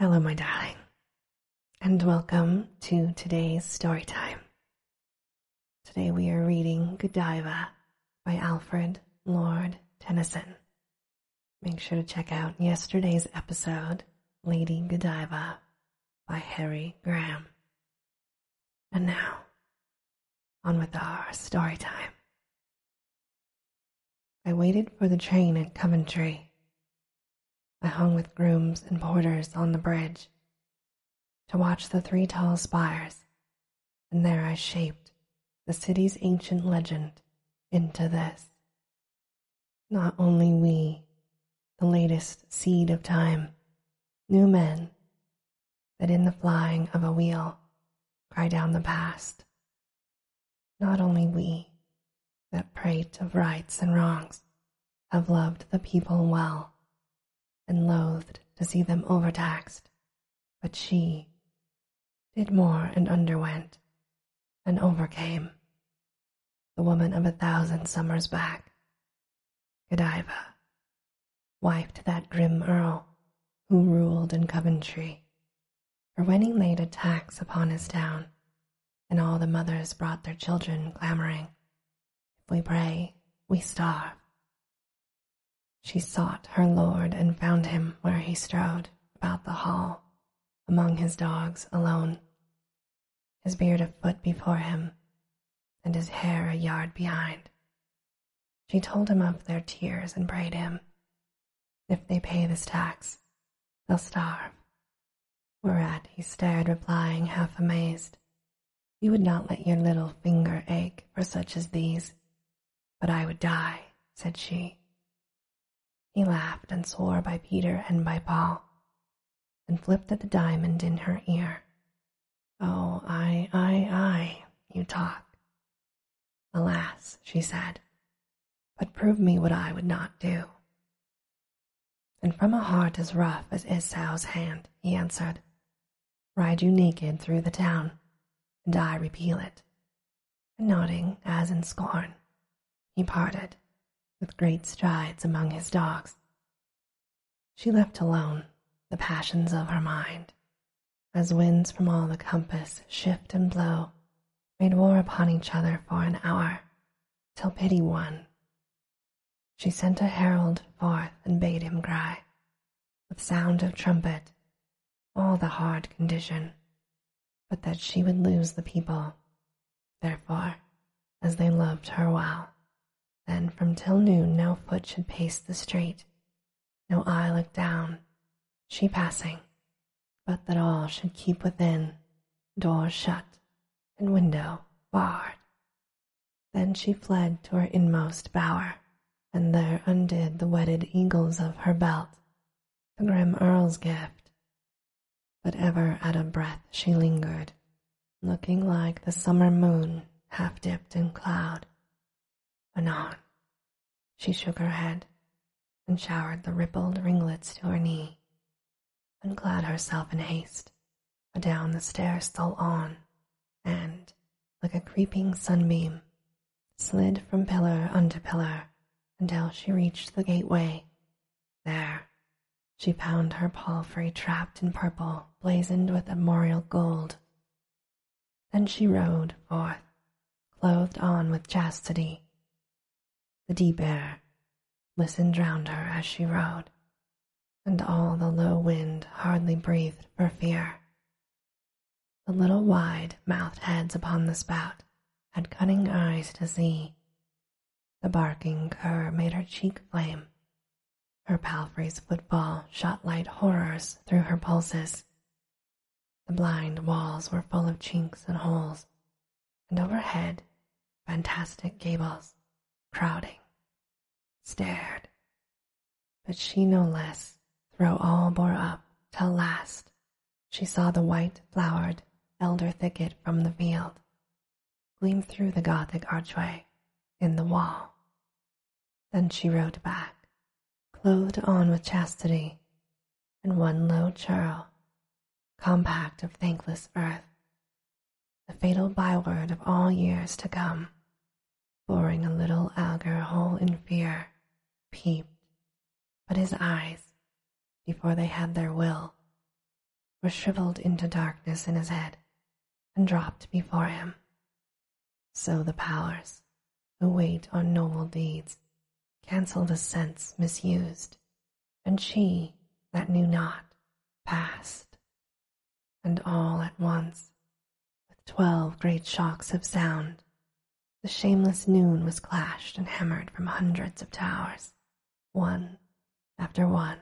Hello, my darling, and welcome to today's story time. Today we are reading Godiva by Alfred Lord Tennyson. Make sure to check out yesterday's episode, Lady Godiva by Harry Graham. And now, on with our story time. I waited for the train at Coventry. I hung with grooms and porters on the bridge to watch the three tall spires, and there I shaped the city's ancient legend into this. Not only we, the latest seed of time, new men, that in the flying of a wheel cry down the past. Not only we that prate of rights and wrongs have loved the people well and loathed to see them overtaxed, but she did more and underwent and overcame. The woman of a thousand summers back, Godiva, Wife to that grim earl who ruled in Coventry. For when he laid a tax upon his town, and all the mothers brought their children clamouring, If we pray, we starve. She sought her lord and found him where he strode about the hall, among his dogs alone, his beard a foot before him, and his hair a yard behind, she told him of their tears and prayed him, If they pay this tax, they'll starve. Whereat he stared, replying, half amazed, You would not let your little finger ache for such as these. But I would die, said she. He laughed and swore by Peter and by Paul, and flipped at the diamond in her ear. Oh, ay, ay, ay, you talk. Alas, she said, but prove me what I would not do. And from a heart as rough as Isau's hand, he answered, Ride you naked through the town, and I repeal it. And nodding as in scorn, he parted with great strides among his dogs. She left alone the passions of her mind, as winds from all the compass shift and blow, made war upon each other for an hour, till pity won. She sent a herald forth and bade him cry, with sound of trumpet, all the hard condition, but that she would lose the people Therefore, as they loved her well, then from till noon no foot should pace the street, no eye look down, she passing, but that all should keep within, door shut and window barred. Then she fled to her inmost bower, and there undid the wedded eagles of her belt, the grim earl's gift but ever at a breath she lingered, looking like the summer moon half dipped in cloud. Anon, she shook her head and showered the rippled ringlets to her knee, and clad herself in haste, but down the stairs stole on, and, like a creeping sunbeam, slid from pillar unto pillar until she reached the gateway. There, she found her palfrey trapped in purple, blazoned with armorial gold. Then she rode forth, clothed on with chastity. The deep air listened round her as she rode, and all the low wind hardly breathed for fear the little wide-mouthed heads upon the spout had cunning eyes to see. The barking cur made her cheek flame. Her palfrey's footfall shot light horrors through her pulses. The blind walls were full of chinks and holes, and overhead, fantastic gables, crowding, stared, but she no less through all bore up till last she saw the white flowered elder thicket from the field gleam through the gothic archway in the wall. Then she rode back, clothed on with chastity, and one low churl, compact of thankless earth, the fatal byword of all years to come boring a little auger hole in fear, peeped, but his eyes, before they had their will, were shriveled into darkness in his head and dropped before him. So the powers, who wait on noble deeds, cancelled a sense misused, and she that knew not passed and all at once, with twelve great shocks of sound, the shameless noon was clashed and hammered from hundreds of towers, one after one.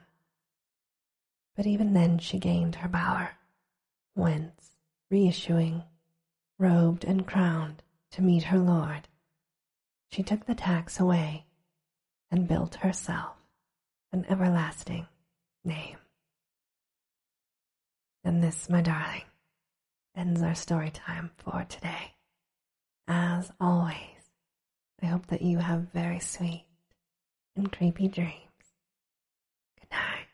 But even then she gained her bower, whence, reissuing, robed and crowned to meet her lord, she took the tax away and built herself an everlasting name. And this, my darling, ends our story time for today. As always, I hope that you have very sweet and creepy dreams. Good night.